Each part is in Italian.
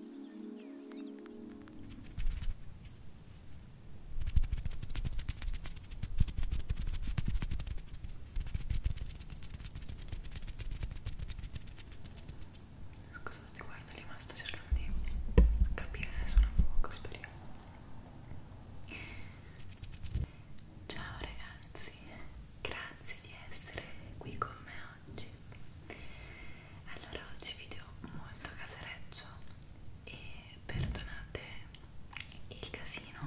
Scusate, guarda lì, ma sto cercando di capire se sono a fuoco, speriamo. Ciao ragazzi, grazie grazie di essere qui con me oggi. Allora, oggi video molto casereccio e perdonate il casino,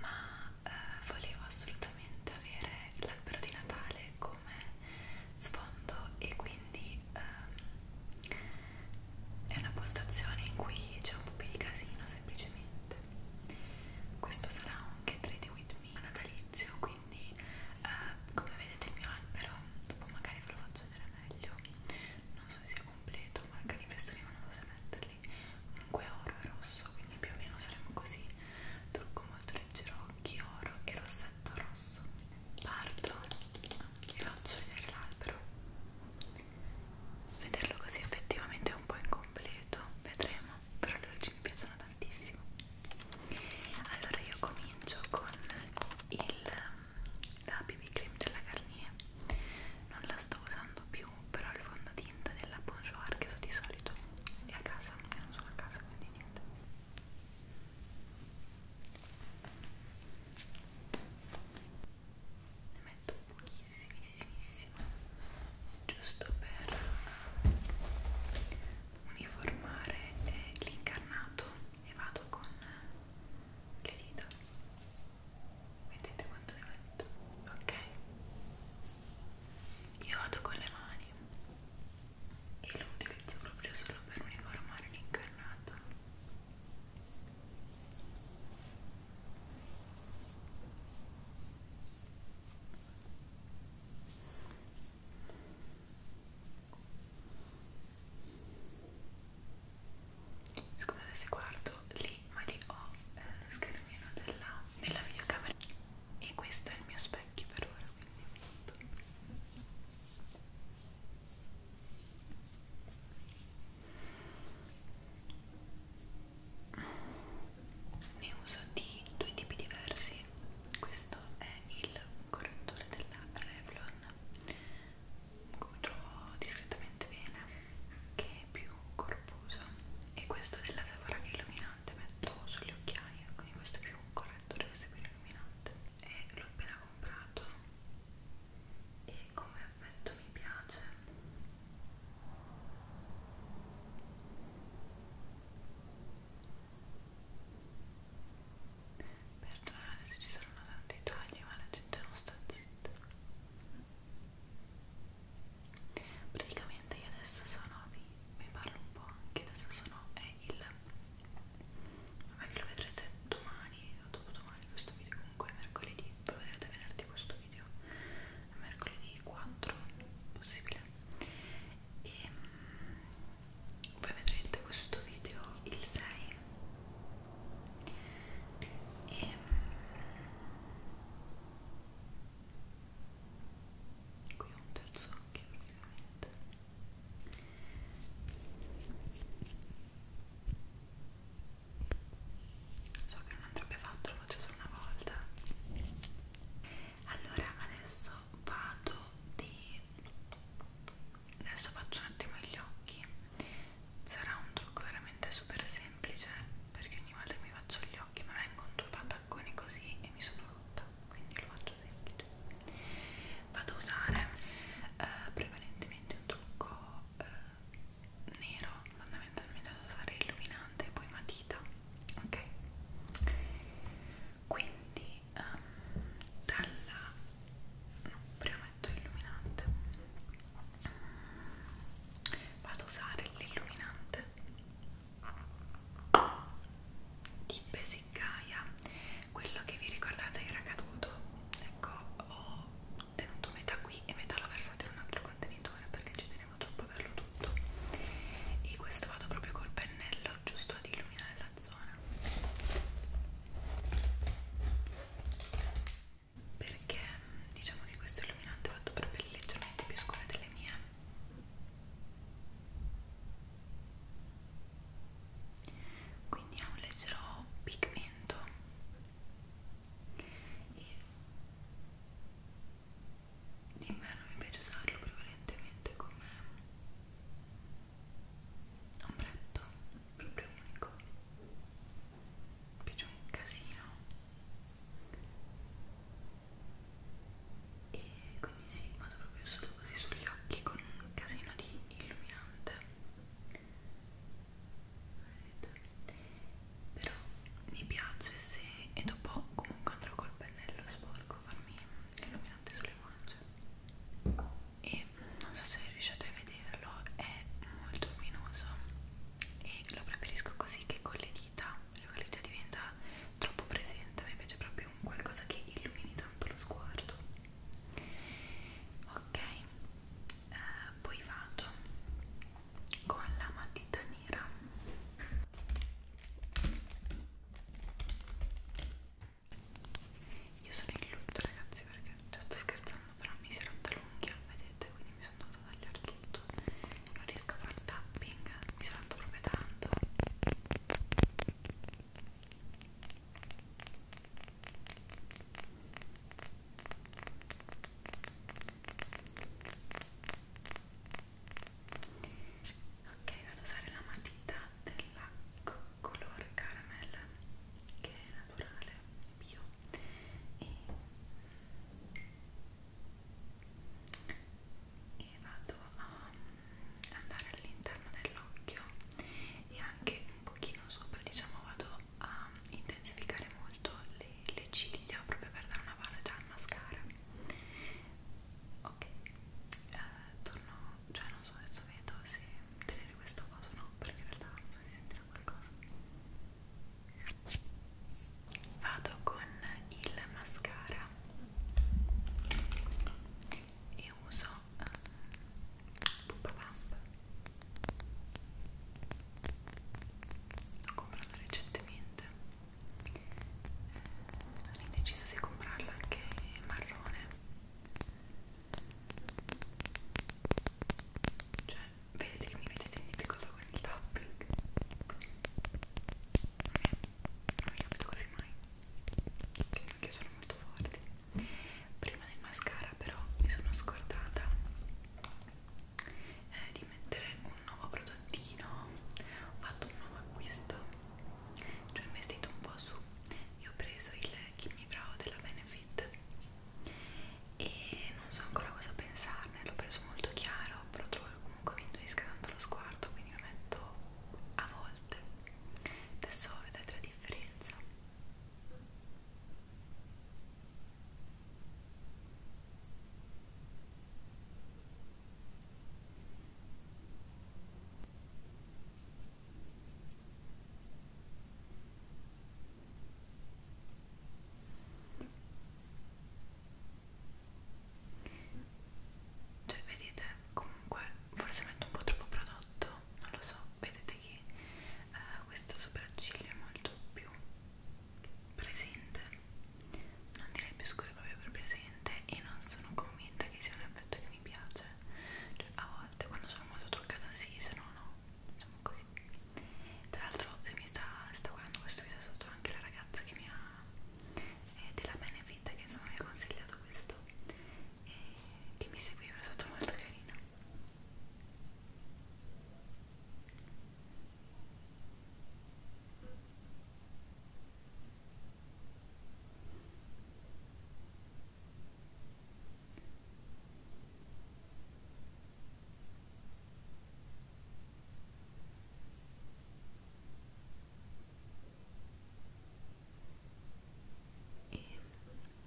ma eh, volevo assolutamente avere l'albero di Natale come sfondo e quindi ehm, è una postazione in cui c'è un po' più di casino semplicemente questo sarà anche trade with me natalizio quindi eh, come vedete il mio albero dopo magari ve lo faccio vedere meglio non so se sia completo ma anche i festoni non so se metterli comunque oro e rosso quindi più o meno saremo così trucco molto leggero occhi oro e rossetto rosso parto e faccio vedere l'albero vederlo così effettivamente è un po' incompleto vedremo però le luci mi piacciono tantissimo allora io comincio con il ehm, la BB cream della Garnier non la sto usando più però il fondotinta della Bonjour che uso di solito è a casa io non sono a casa quindi niente ne metto pochissimissimissimo giusto per uniformare l'incarnato e vado con le dita vedete quanto ne metto ok io vado con le mani e lo utilizzo proprio solo per uniformare l'incarnato Scusate se guardo lì, ma lì ho eh, lo schermino della, della videocamera e questo è il mio specchio per ora, quindi tutto ne uso di due tipi diversi questo è il correttore della Revlon come trovo discretamente bene che è più corposo e questo della Sephora che è illuminante metto sugli occhiali quindi questo è più un correttore questo è più illuminante e l'ho appena comprato e come effetto mi piace Perdonate se ci saranno tanti tagli, ma la gente non sta zitta. Praticamente io adesso sono vi, vi parlo un po' anche, adesso sono è il vabbè che lo vedrete domani o dopodomani questo video comunque mercoledì, lo vedrete venerdì questo video video mercoledì 4 possibile e um, voi vedrete questo video il 6 e um, qui ho un terzo occhio praticamente so che non andrebbe fatto, lo faccio solo una volta allora adesso vado di adesso faccio un attimo gli occhi sarà un trucco veramente super semplice perché ogni volta che mi faccio gli occhi mi vengono due patacconi così e mi sono rotta quindi lo faccio semplice vado a usare eh, prevalentemente un trucco eh, nero fondamentalmente ad usare illuminante e poi matita ok quindi um, dalla no, prima metto illuminante vado a usare l'illuminante di Basic Gaia quello che vi ricordate era caduto ecco ho tenuto metà qui e metà l'ho versato in un altro contenitore perché ci tenevo troppo a averlo tutto e questo vado proprio col pennello giusto ad illuminare la zona perché diciamo che questo illuminante ho fatto per pelle leggermente più scura delle mie quindi ha un leggero pigmento e d'inverno mi piace usarlo prevalentemente come ombretto proprio unico mi piace un casino e quindi sì, vado proprio solo così sugli occhi con un casino di illuminante Vedete? però mi piace se e dopo comunque andrò col pennello sporco a farmi illuminante sulle guance e non so se riuscite a vederlo è molto luminoso e lo preferisco così che con le dita con le dita diventa troppo presente mi piace proprio un qualcosa che illumini tanto lo sguardo ok eh, poi vado con la matita nera io sono in lutto ragazzi perché cioè, sto scherzando però mi si è rotta l'unghia vedete quindi mi sono andata a tagliare tutto non riesco a fare il tapping mi sono rotta proprio tanto ok vado a usare la matita della color caramel che è naturale bio e, e vado a mm, andare all'interno dell'occhio e anche un pochino sopra diciamo vado a intensificare molto le, le ciglia proprio per dare una base già al mascara ok eh, torno cioè non so adesso vedo se tenere questo coso o no perché in realtà non so se sentirà qualcosa vado con il mascara e uso eh, Pump Pump l'ho comprata recentemente sono eh, indecisa se comprarla anche marrone cioè vedete che mi vedete in difficoltà con il tapping non mi capito quasi mai che sono molto forti prima del mascara però mi sono scordata eh, di mettere un nuovo prodottino ho fatto un nuovo acquisto ci cioè ho investito un po' su io ho preso il Kimmy Brow della Benefit e non so ancora cosa pensarne l'ho preso molto chiaro però trovo che comunque mi induisca tanto lo sguardo quindi lo metto a volte adesso vedete la differenza cioè vedete, comunque forse metto un po' troppo prodotto, non lo so, vedete che eh, questa sopracciglia è molto più presente non direi più scuro proprio per presente e non sono convinta che sia un effetto che mi piace cioè, a volte quando sono molto truccata sì se no no diciamo così tra l'altro se mi sta, sta guardando questo video sotto anche la ragazza che mi ha eh, della Benefit che insomma mi ha consigliato questo e che mi seguiva è stata molto carina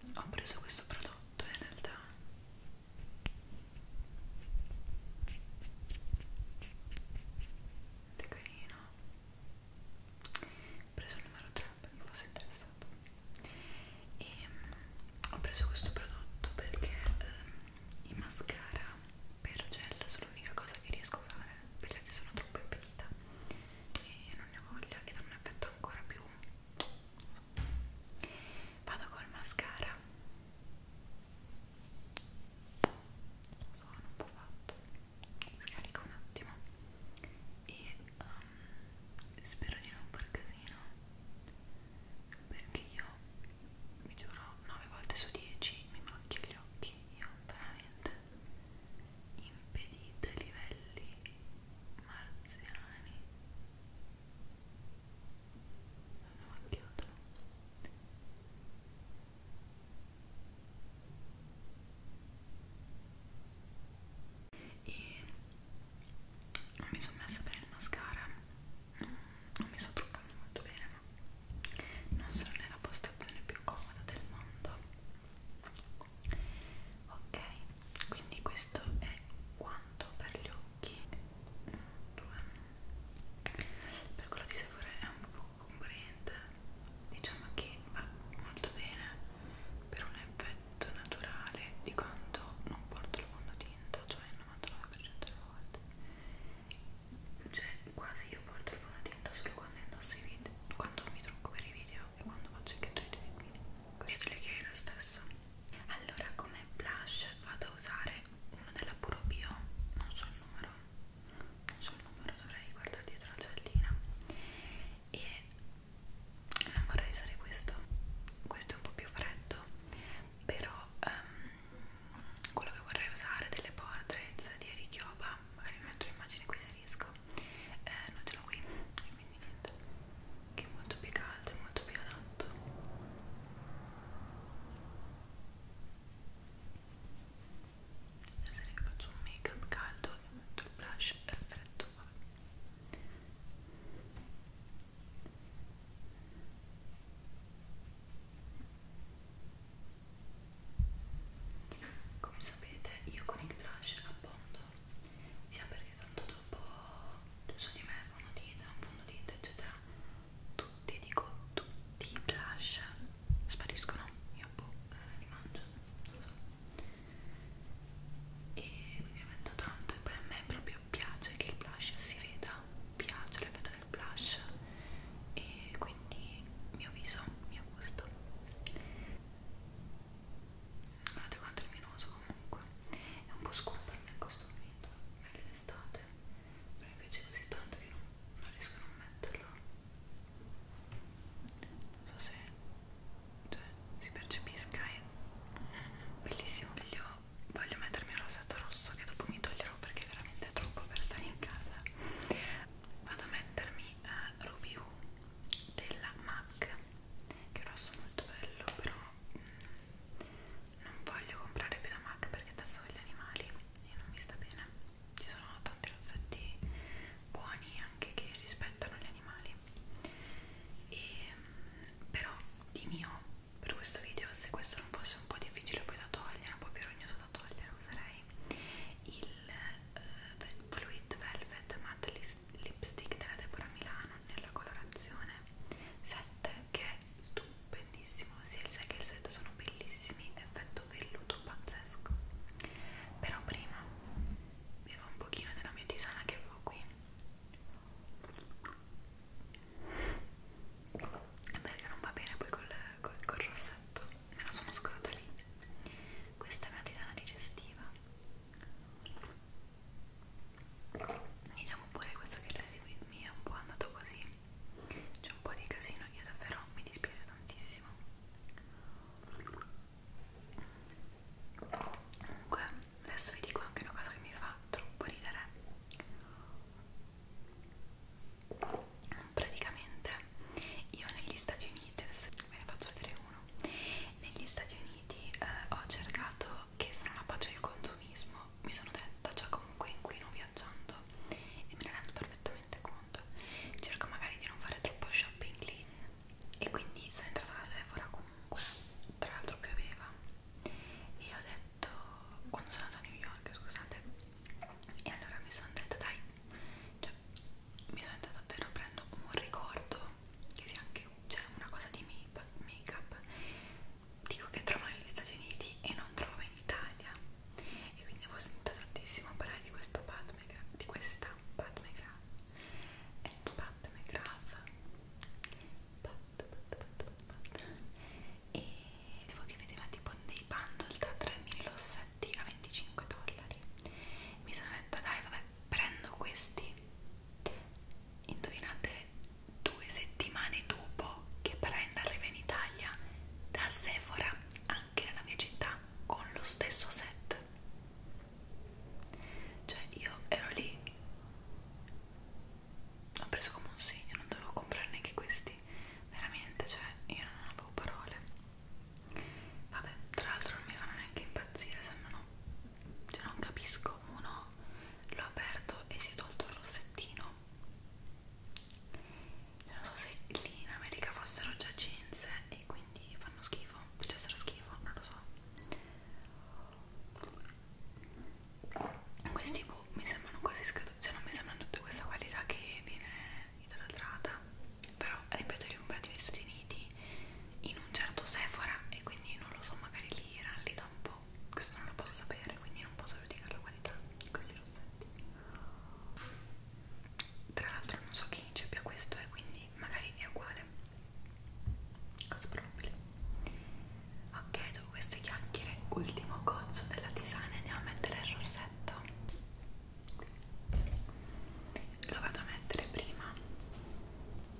e ho preso questo prodotto in realtà Molto carino Ho preso il numero 3 per chi fosse interessato E um, ho preso questo prodotto perché um, i mascara per gel sono l'unica cosa che riesco a usare Perché che sono troppo impedita e non ne ho voglia ed ha un effetto ancora più vado col mascara sono un po' fatto scarico un attimo e um, spero di non far casino perché io vi giuro 9 volte su 10 mi macchio gli occhi io veramente impedite livelli marziani andiamo a chiuderlo e non mi sono messa bene il mascara non mi sono truccando molto bene ma non sono nella postazione più comoda del mondo ok quindi questo è quanto per gli occhi due per quello di Sephora è un po' compriente diciamo che va molto bene per un effetto naturale di quanto non porto il fondotinta cioè il 99% delle volte cioè quasi io porto il fondotinta solo quando indosso i video quando mi trucco per i video e quando faccio i cattivi video credo che è lo stesso allora come blush vado a usare uno della Puro Bio non so il numero non so il numero dovrei guardare dietro la cellina e non vorrei usare questo questo è un po' più freddo però um, quello che vorrei usare delle portraits di Eric Yoba magari metto l'immagine qui se riesco eh, non ce l'ho qui quindi niente che è molto più caldo e molto più adatto adesso che faccio un make up caldo e metto il blush e freddo vabbè. Come sapete io con il blush abbondo sia perché tanto un po' su di me, fondotinta, un fondotinta, eccetera. Tutti, dico tutti i blush spariscono, io boh, eh, li mangio, non so. E quindi ne metto tanto e poi a me proprio piace che il blush si veda, piace l'effetto del blush e quindi mio viso, mio gusto. Guardate quanto è luminoso comunque, è un po' scuro per me questo video vinto meglio in estate però invece è così tanto che non, non riesco a non metterlo non so se cioè, si percepisca è bellissimo voglio, voglio mettermi un rosetto rosso che dopo mi toglierò perché veramente è troppo per stare in casa vado a mettermi uh, Ruby U della MAC che è rosso molto bello però mh, mm, non voglio comprare più da Mac perché adesso ho gli animali e non mi sta bene ci sono tanti rozzetti buoni anche che rispettano gli animali e, mm, però di mio oh, per questo video se questo non fosse un po' difficile poi da togliere un po' più rognoso da togliere userei il uh, Fluid Velvet Matte Lipstick della Deborah Milano nella colorazione 7 che è è stupendissimo, sia il set che il set sono bellissimi, effetto velluto pazzesco. Però prima bevo un pochino della mia tisana che avevo qui. E perché non va bene poi col, col, col rossetto, me la sono scordata lì. Questa è una tisana digestiva diciamo pure questo che live with me è un po' andato così c'è un po' di casino io davvero mi dispiace tantissimo comunque adesso vi dico anche una cosa che mi fa troppo ridere praticamente io negli Stati Uniti adesso ve ne faccio vedere uno negli Stati Uniti eh, ho cercato che sono la pace del consumismo, mi sono detta già comunque inquino viaggiando e me ne rendo perfettamente conto. Cerco magari di non fare troppo shopping lì e quindi sono entrata alla Sephora comunque, tra l'altro pioveva e ho detto quando sono andata a New York, scusate, e allora mi sono detta dai, cioè mi sono detta davvero prendo un ricordo che sia anche cioè, una cosa di make up dico che trovo negli Stati Uniti e non trovo in Italia e quindi avevo sentito tantissimo parlare di questo Pat McGrath di questa Pat McGrath è Pat McGrath Pat, Pat, Pat, Pat, Pat. e avevo che vedeva tipo dei bundle da 3.007 a 25 dollari mi sono detta dai vabbè prendo questi indovinate due settimane dopo che Brenda arriva in Italia da Sephora anche nella mia città con lo stesso set cioè io ero lì ho preso come un segno non dovevo comprare neanche questi veramente cioè io non avevo parole vabbè tra l'altro non mi fanno neanche impazzire sembrano cioè non capisco uno l'ho aperto e si è tolto il rossettino non so se lì in America fossero già jeans e quindi fanno schifo facessero schifo, non lo so questi boh, mi sembrano quasi scaduti cioè non mi sembrano tutta questa qualità che viene idolatrata però ripeto li ho comprati negli Stati Uniti in un certo Sephora e quindi non lo so magari lì erano lì da un po' però questo non lo posso sapere quindi non posso giudicare la qualità di questi rossetti tra l'altro non so che ince abbia questo e eh, quindi magari è uguale cosa probabile ok dopo queste chiacchiere ultimo gozzo della tisana andiamo a mettere il rossetto lo vado a mettere prima Due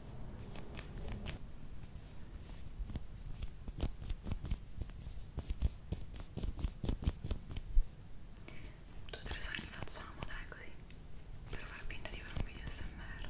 o tre sogni facciamo, dai, così per far finta di fare un video smr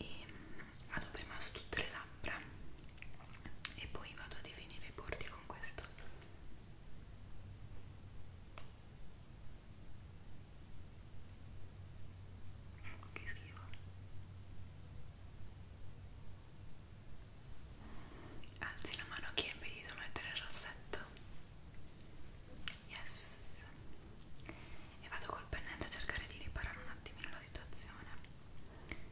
e ehm, vado prima su tutte le labbra e poi vado a definire i bordi con questo che schifo Alzi la mano a chi è impedito mettere il rossetto. Yes. E vado col pennello a cercare di riparare un attimino la situazione. Ok,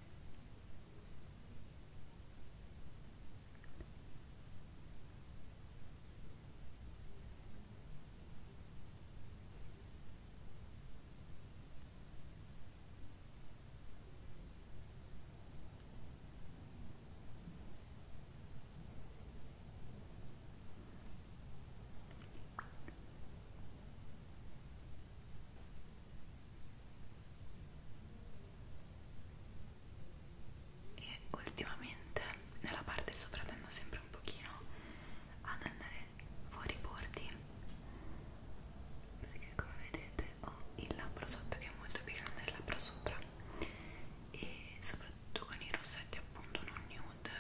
e ultimamente nella parte sopra tendo sempre un pochino ad andare fuori bordi perché come vedete vedete ho il labbro sotto che è molto più grande del labbro sopra e soprattutto con i rossetti appunto non nude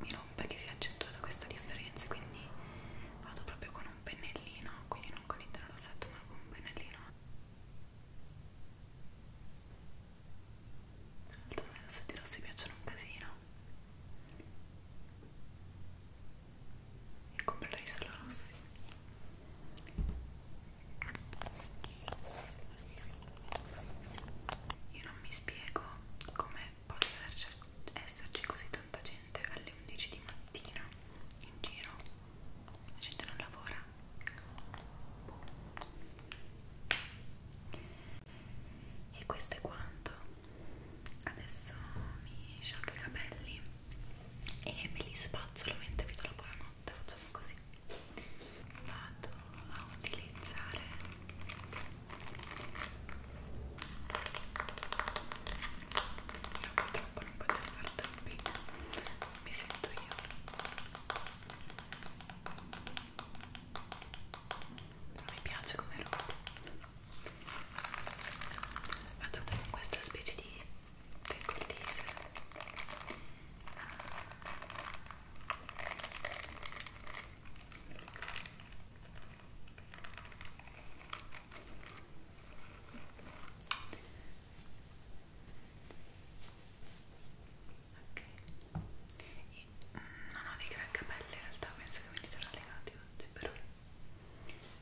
mi rompe che si è accentuata questa differenza quindi vado proprio con un pennellino quindi non con l'intero rossetto ma con un pennellino tra l'altro a me i rossetti rossi piacciono un casino e comprerei solo rossi io non mi spiego come possa esserci così tanta gente alle 11 di mattina in giro la gente non lavora boh. e questo è quanto adesso mi sciacco i capelli e me li spazzolo mentre vi trovo la notte facciamo così vado a utilizzare io purtroppo non potrei fare troppi mi sento io non mi piace come roba vado con questa specie di trickle teaser Ok, Io non ho dei gran capelli in realtà, penso che mi li legati oggi, però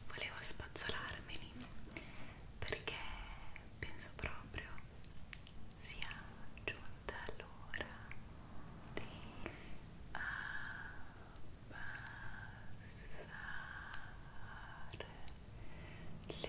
volevo spazzolarmeli perché penso proprio sia giunta l'ora di abbassare le luci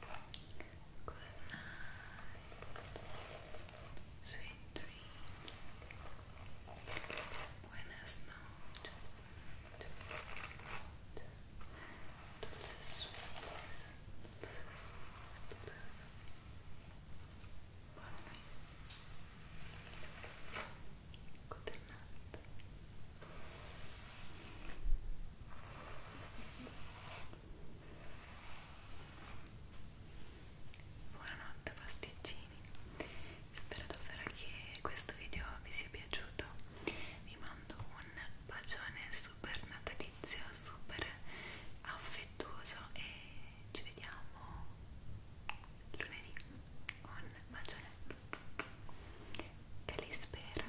Good night. Sweet dreams. Buenas noches. Buenas noches. Dulces sueños. Dulces sueños. Dulces Good night. Buonanotte pasticcini, spero davvero che questo video vi sia piaciuto, vi mando un bacione super natalizio, super affettuoso e ci vediamo lunedì con un bacione che li spera.